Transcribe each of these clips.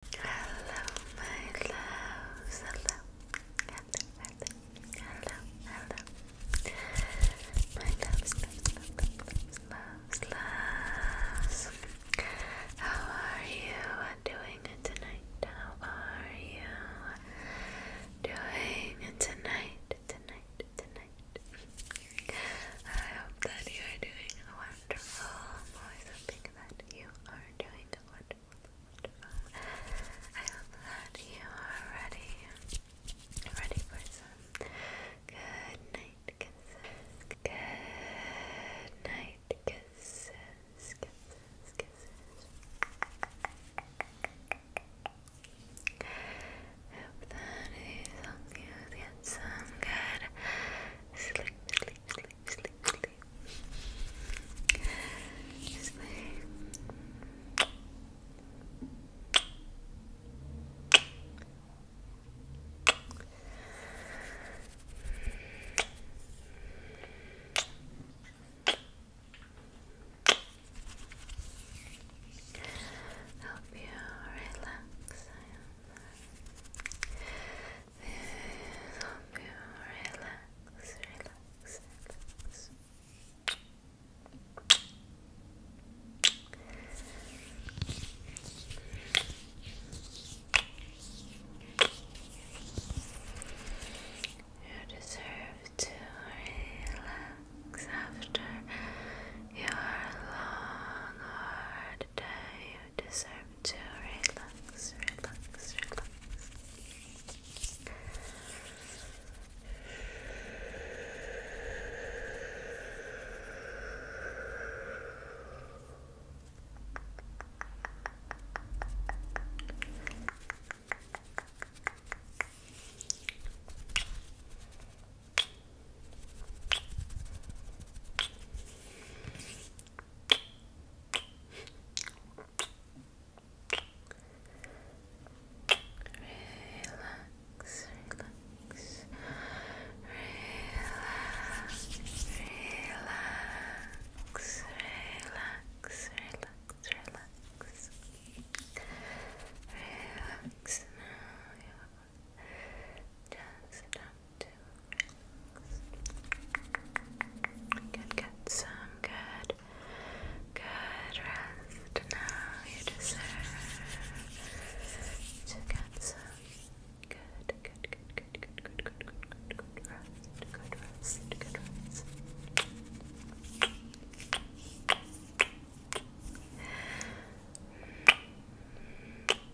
Hello, my loves. Hello. Hello, hello, How are you doing tonight? How are you doing tonight? Tonight, tonight. I hope that you are doing wonderful think that you are doing wonderful, wonderful. I hope that you are ready, ready for some good night kisses, good night kisses, kisses, kisses. Hope that these help you get some good sleep, sleep, sleep sleep, sleep, sleep. Help you relax help you relax, relax, relax. You deserve to relax after your long, hard day deserve to relax, relax, relax. Relax, relax, relax, relax, relax, relax, relax. Relax now, just enough to get some good, good rest. Now you deserve to get some good, good, good, good, good, good, good, good, good, rest. Good rest. Good rest.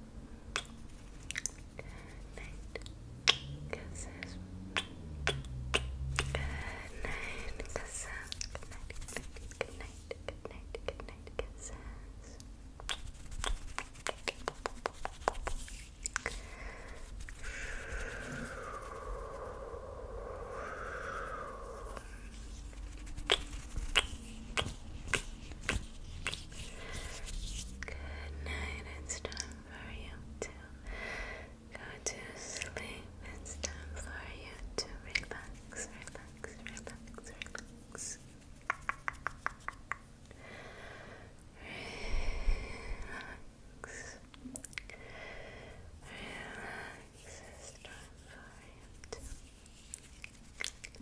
night. Kisses. Good night, kisses. Good night, good night, good night, good night, kisses. Good Good night. It's time for you to go to sleep. It's time for you to relax, relax, relax, relax. Relax. Relax. It's time for you to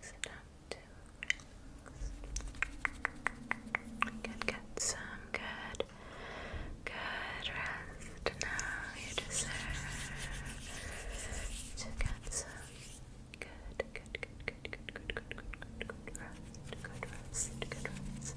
Just enough to relax. Good, get some good, good rest. Now you deserve to get some good, good, good, good, good, good, good, good, good, rest. Good rest. Good rest.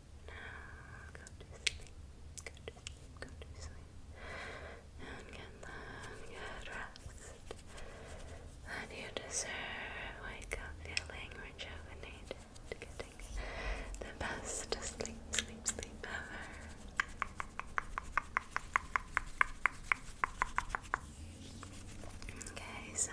Now go to sleep. Go to sleep. Go to sleep. And get long, good rest. And you deserve wake up feeling rejuvenated, getting the best sleep, sleep, sleep ever. Okay, so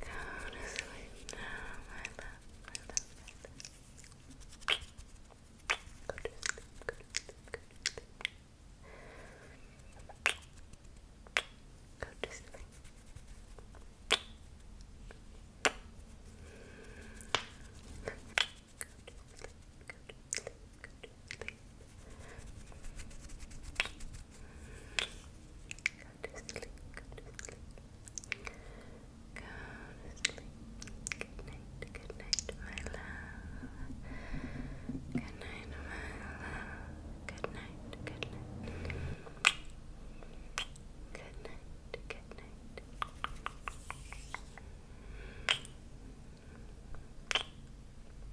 Go to sleep now, my love, my love, go to sleep, go to sleep. Go to sleep. Go to sleep, go to sleep, go to sleep. Go to sleep. Go to sleep. Go to sleep. Good night. Good night, my love. Good night, my love. Good night. Good night. Good night. Good night.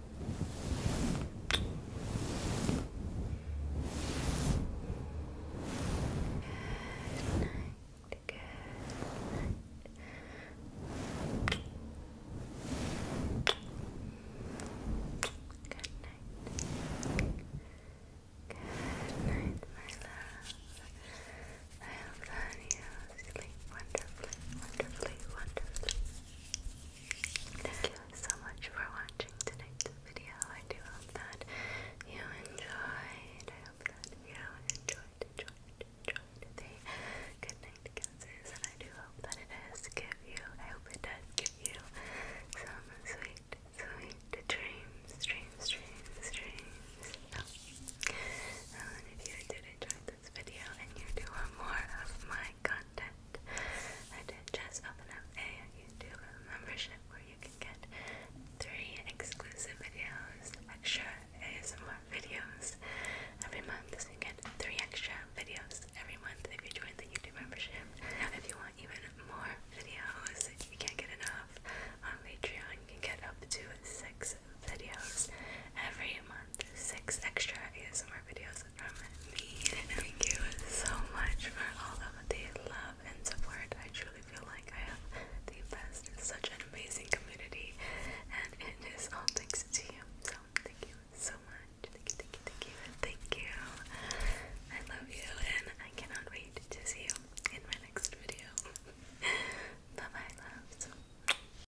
Good night. my love. I hope you sleep wonderfully, wonderfully, wonderfully. Thank you so much for watching tonight's video. I do hope that you enjoyed. I hope that you enjoyed, enjoyed, enjoyed the good night kisses, and I do hope that it does give you. I hope it does give you some sweet, sweet dreams, dreams, dreams, dreams. Oh, and if you did enjoy the this you want more of my content, I did just open up a YouTube membership where you can get three exclusive videos, extra ASMR videos every month. you get three extra videos every month if you join the YouTube membership. If you want even more videos, if you can't get enough, on Patreon you can get up to six videos every month six extra ASMR videos from me. Thank you so much for all of the love and support. I truly feel like I have the best, such an amazing community, and it is all thanks to you. So thank you so much. Thank you, thank you, thank you, thank you. I love you, and I cannot wait to see you in my next video. bye bye, loves.